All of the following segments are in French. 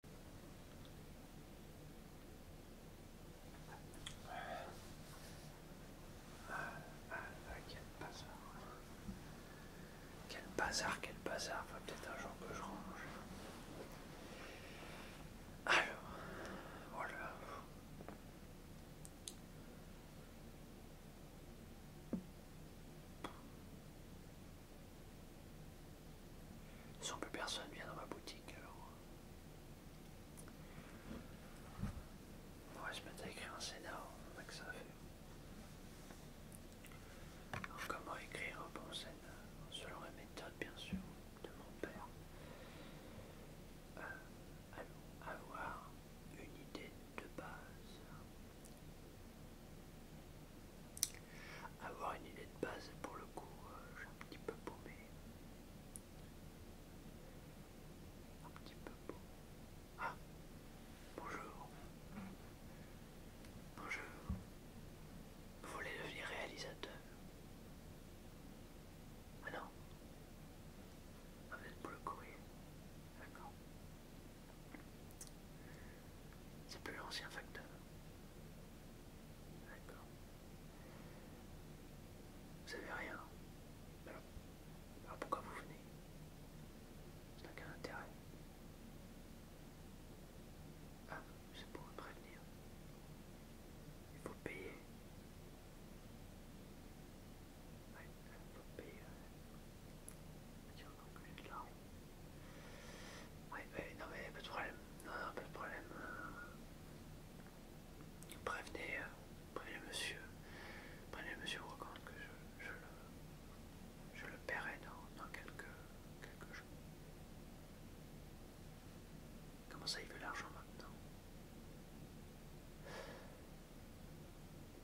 Quel bazar. Quel bazar, quel bazar. va peut-être un jour que je range. Alors, voilà. Oh sans plus personne vient dans ma boutique, alors. On va se mettre à écrire un scénario, on que ça comment écrire un bon scénario Selon la méthode, bien sûr, de mon père. Euh, Allons avoir une idée de base avoir une idée de base pour le coup, euh, j'ai un petit peu paumé. Un petit peu paumé. Ah Bonjour. Bonjour. Vous voulez devenir réalisateur Ah non. Ah, vous pour le courrier. D'accord. C'est plus l'ancien facteur. D'accord. Vous savez rien. Alors, alors pourquoi vous venez Ça n'a qu'un intérêt. Ah, c'est pour me prévenir. Il faut payer. Ouais, il faut payer. Tiens, donc oui, non mais pas de problème. Non, non, pas de problème. Prévenez, euh, prévenez monsieur, prévenez monsieur que je, je le, je le paierai dans, quelques, quelques jours. Comment ça, il veut l'argent maintenant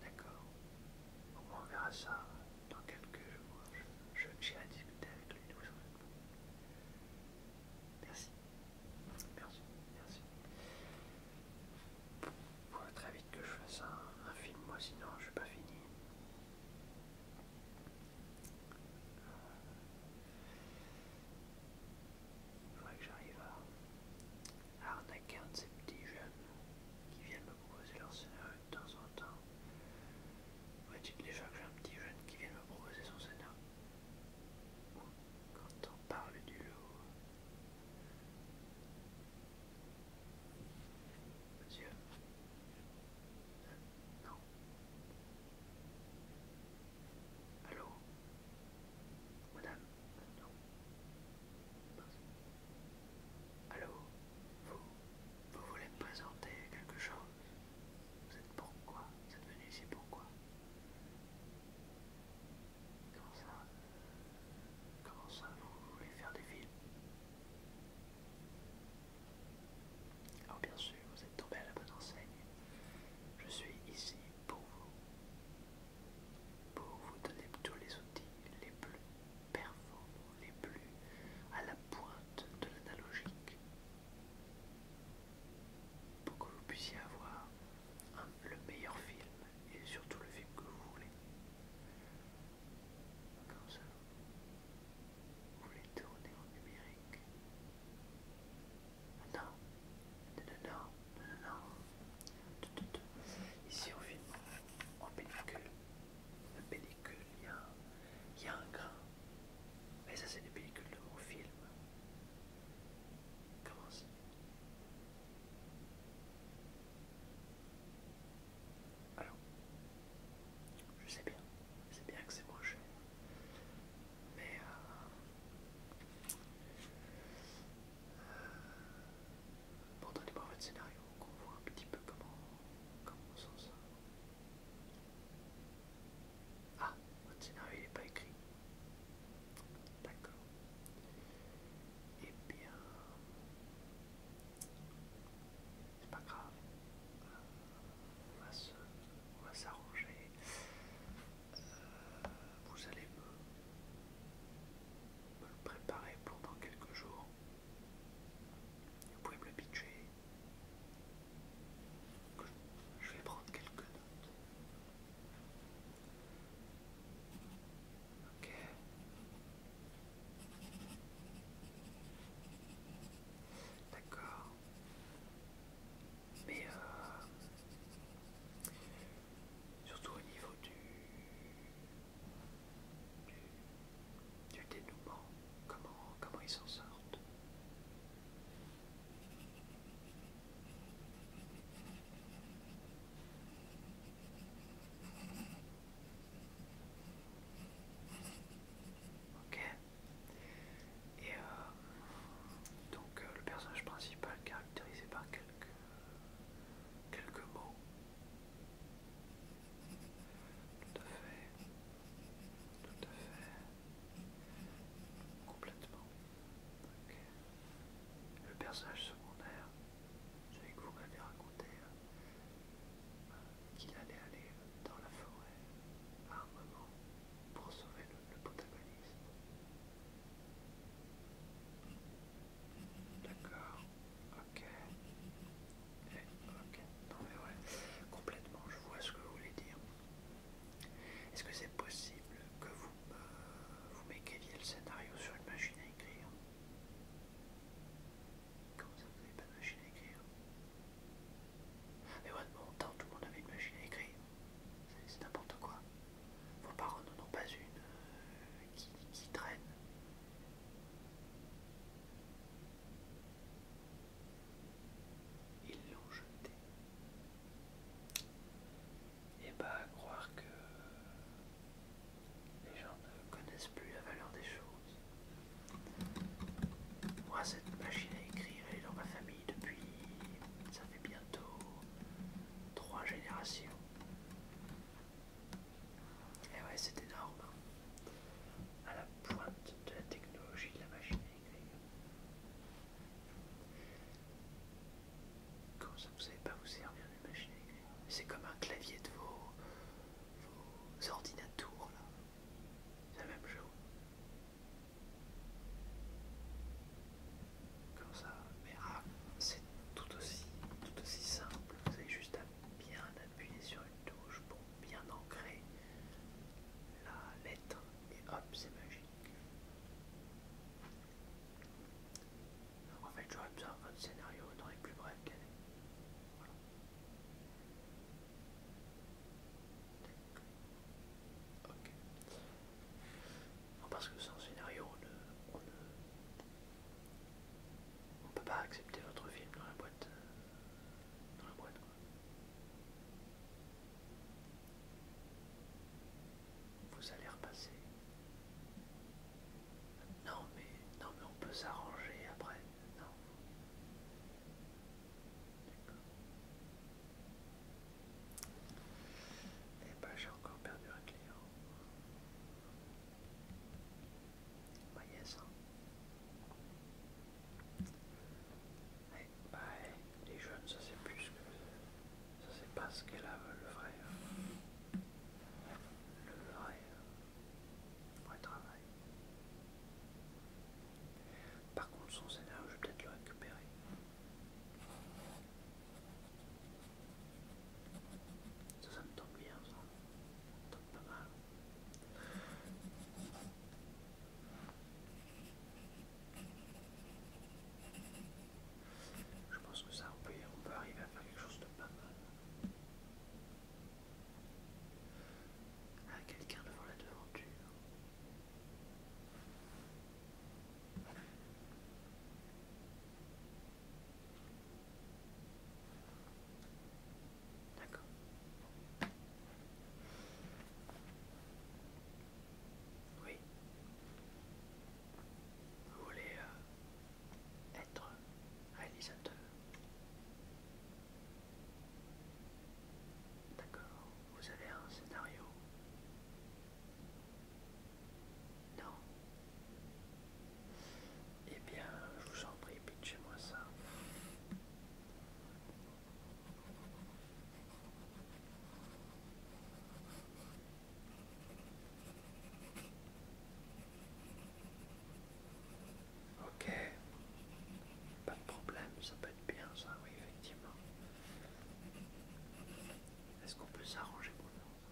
D'accord. Au moins on verra ça dans quelques jours, vais discuter avec lui de Merci. Merci, merci. Faut très vite que je fasse un, film, moi sinon je suis pas fini. Il euh, faudrait que j'arrive à, à arnaquer un de ces petits jeunes qui viennent me proposer leur scénario de temps en temps. déjà que j'ai un petit jeune qui vient me proposer son scénar. quand on parle du lot. Monsieur euh, Non. Allô Madame euh, Non. Allô Vous Vous voulez me présenter quelque chose Vous êtes pourquoi Vous êtes venu ici pourquoi Comment ça Comment ça Vous voulez faire des films Alors bien sûr, vous êtes tombé à la bonne enseigne. Je suis ici pour vous. Pour vous donner tous les outils les plus performant les plus à la pointe de l'analogique. Pour que vous puissiez avoir le meilleur film et surtout le film que vous voulez. vous voulez tourner en numérique. Ah non, non, non, non, non, non. Ici on filme en pellicule. La pellicule, il y, a, il y a un grain. Mais ça, c'est des pellicules de mon film. Comment ça Alors, je sais bien, je sais bien que c'est moins Mais euh, euh, pour donnez voir votre scénario, qu'on voit un petit peu comment, comment on s'en sort. Ah, votre scénario n'est pas écrit. D'accord. Eh bien, c'est pas grave. Euh, on va s'arranger. Euh, vous allez me, me le préparer pour dans quelques jours. Vous pouvez me le pitcher. Je vais prendre quelques notes. Ok. D'accord. Mais euh, surtout au niveau du du, dénouement, comment, comment ils s'en sortent. Ok. Et euh, donc euh, le personnage principal caractérisé par quelques mots, tout à fait. Tout à fait. Complètement. Le personnage secondaire, celui que vous m'avez raconté, euh, qu'il allait aller dans la forêt à un moment pour sauver le protagoniste. D'accord. Eh, ok. Non mais ouais. Complètement, je vois ce que vous voulez dire. Est-ce que c'est possible que vous, vous m'écriviez le scénario sur une machine à écrire Comment ça, vous n'avez pas de machine à écrire Mais ouais, de mon temps, tout le monde avait une machine à écrire. C'est n'importe quoi. Vos parents n'en ont pas une euh, qui traîne. Ils l'ont jeté. Et bah croire que les gens ne connaissent plus la valeur des choses. Moi cette machine à écrire elle est dans ma famille depuis ça fait bientôt trois générations. Et eh ouais, c'est énorme. Hein. À la pointe de la technologie de la machine à ça, vous savez pas vous servir une machine C'est comme un clavier de vos, ordinateurs là. C'est le même chose. Comme ça, mais ah, c'est tout aussi, tout aussi simple. Vous avez juste à bien appuyer sur une touche pour bien ancrer la lettre et hop c'est magique. en fait j'aurais besoin de scénario dans les plus brefs délais. Ok. parce que sans scénario on ne on ne peut pas accepter votre film dans la boîte. Euh, dans la boîte quoi. Vous allez repasser. Non mais non mais on peut s'arranger après. Non. Et bah ben, j'ai encore perdu un client ça bah, Les jeunes, ça c'est plus que... Ça c'est pas ce qu'elle veut le vrai... Le vrai... Le vrai travail. Par contre, son scénario, je vais peut-être le récupérer. Ça, me tombe bien, ça. me tombe pas mal. Je pense que ça, on peut, on peut arriver à faire quelque chose de pas mal. À ah, quelqu'un devant la devanture. D'accord. Oui. Vous voulez euh, être réalisateur. D'accord. Vous avez un scénario. Non. Eh bien, je vous en prie, chez moi ça. Ok, pas de problème, ça peut être bien ça, oui effectivement. Est-ce qu'on peut s'arranger pour nous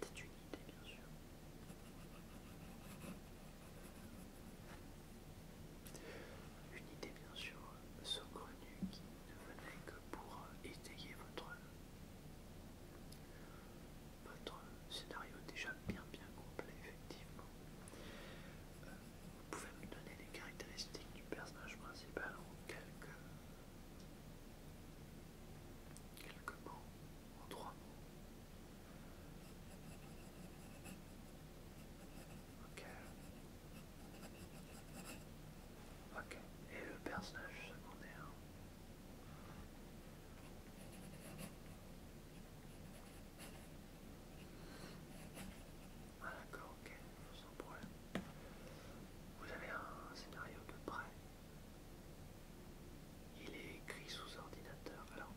c'était une idée, bien sûr. Une idée, bien sûr, saugrenue qui ne venait que pour euh, étayer votre, votre scénario déjà bien, bien complet, effectivement. Euh, vous pouvez me donner les caractéristiques du personnage principal en quelques Quelques mots en trois mots. Ok. Et le personnage secondaire. Ah d'accord, ok. Vous avez un scénario de près. Il est écrit sous ordinateur. Alors,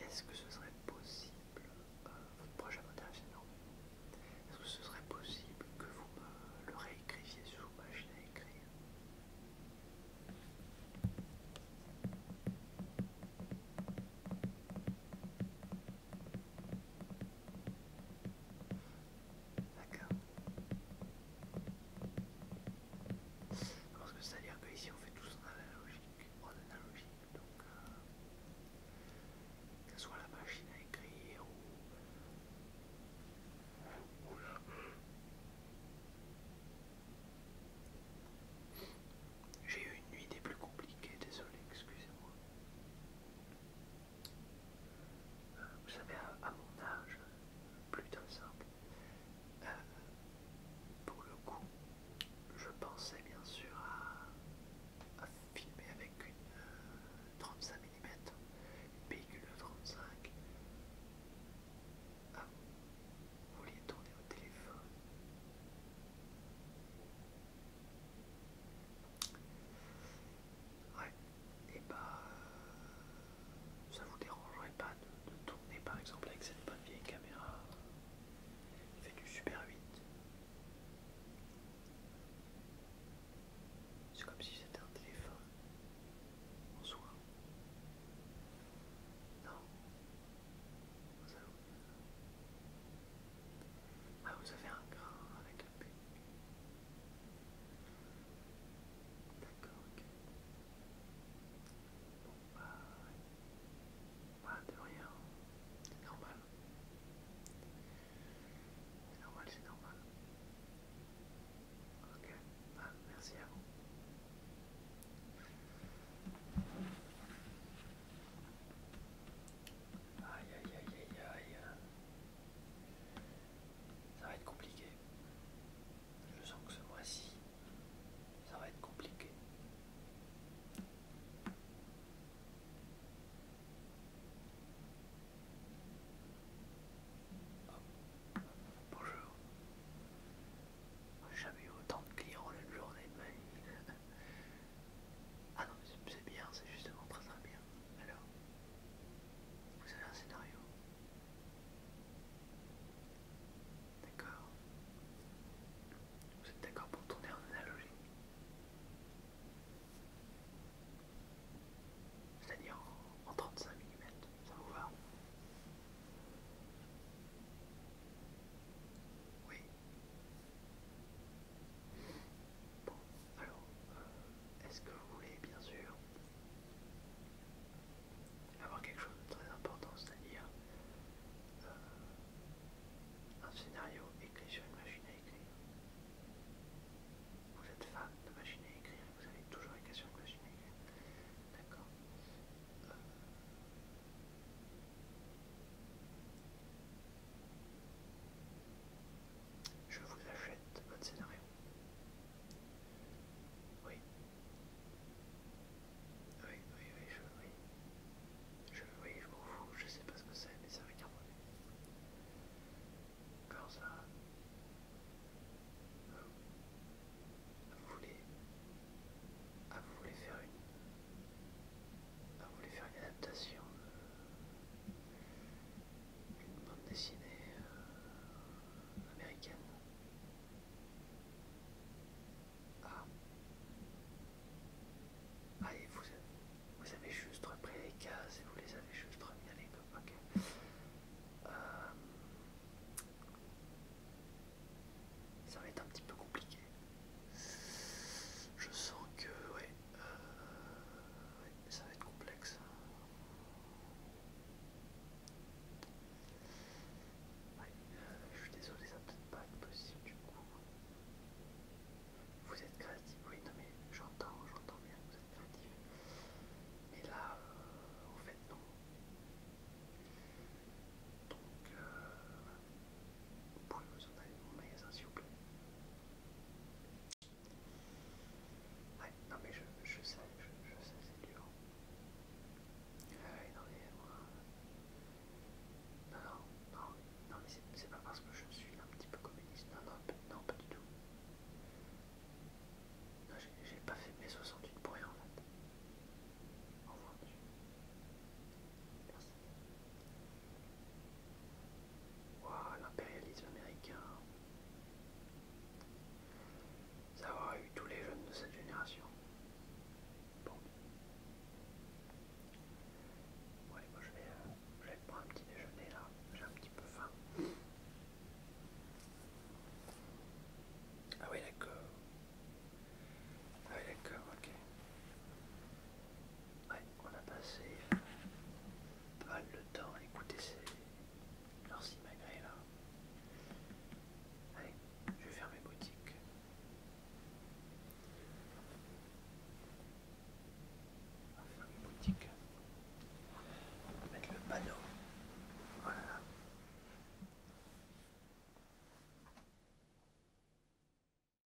est-ce que ce serait possible, euh, votre projet est-ce que ce serait possible que vous le réécriviez sous machine à écrire D'accord. Je que c'est-à-dire que on fait tout en analogique, en analogique, donc euh, que soit la machine à écrire ou, J'ai eu une nuit des plus compliquées, désolé, excusez-moi vous savez, à, mon âge, plus simple. Euh, pour le coup, je pensais bien sûr à, filmer avec une 35 euh, mm, une pellicule 35. Ah, vous vouliez tourner au téléphone Ouais, et eh bah ben, euh, ça vous dérangerait pas de, tourner par exemple avec cette bonne vieille caméra qui fait du super 8 c'est comme si c'était un téléphone en soi non vous avez... Ah, vous avez un grain avec la D'accord, ok. Bon, bah, de rien. C'est normal. C'est normal, c'est normal. Ok, bah, merci à vous. Aïe aïe aïe aïe aïe. Ça va être compliqué. Je sens que ce mois-ci, ça va être compliqué. Oh, bonjour. J'ai jamais eu autant de clients en une journée de ma vie. Ah non, mais c'est bien, c'est justement très très bien. Alors, vous avez un scénario D'accord. Vous êtes d'accord pour tourner en analogie C'est-à-dire en, en 35 mm, ça vous va Oui, alors, euh, est-ce que vous voulez bien sûr avoir quelque chose de très important, c'est-à-dire euh, un scénario écrit sur une machine à écrire Vous êtes fan de machines à écrire, vous avez toujours écrit sur une machine à écrire. D'accord. Euh, je vous achète votre scénario. Oui. Oui, oui, oui, je, oui. Je, oui, je m'en fous, je sais pas ce que c'est, mais ça va problème. Quand ça... Euh, vous voulez... Ah, vous voulez faire une... Vous voulez faire une adaptation d'une bande dessinée euh, américaine. Ah. Allez, ah, vous, vous avez juste repris les cases et vous les avez juste remis à l'époque. Euh, ça va être un petit peu compliqué. Je sens que ça va être complexe. je suis désolé, ça peut-être pas possible du coup. Vous êtes créatif, oui, non mais j'entends, j'entends bien vous êtes créatif. Mais là, au euh, fait, non. Donc, euh, vous pouvez vous en aller de mon magasin s'il vous plaît. Ouais, non mais je, sais, je, sais, c'est dur. Ah non mais Non, non, non, mais c'est pas parce que je suis un petit peu communiste, non, non, non, pas du tout. Non, j'ai pas fait mes 68 pour rien en fait. Au revoir, Merci l'impérialisme américain. Ça aura eu tous les jeunes de cette génération. Bon. allez, moi je vais, euh, je vais prendre un petit déjeuner là. J'ai un petit peu faim. Ah oui, d'accord. Ah oui, d'accord, ok. Ouais, on a passé pas le temps à écouter ces... leurs malgré, là. Allez, je vais fermer mes boutiques. On faire mes boutiques. On va mettre le panneau. Voilà.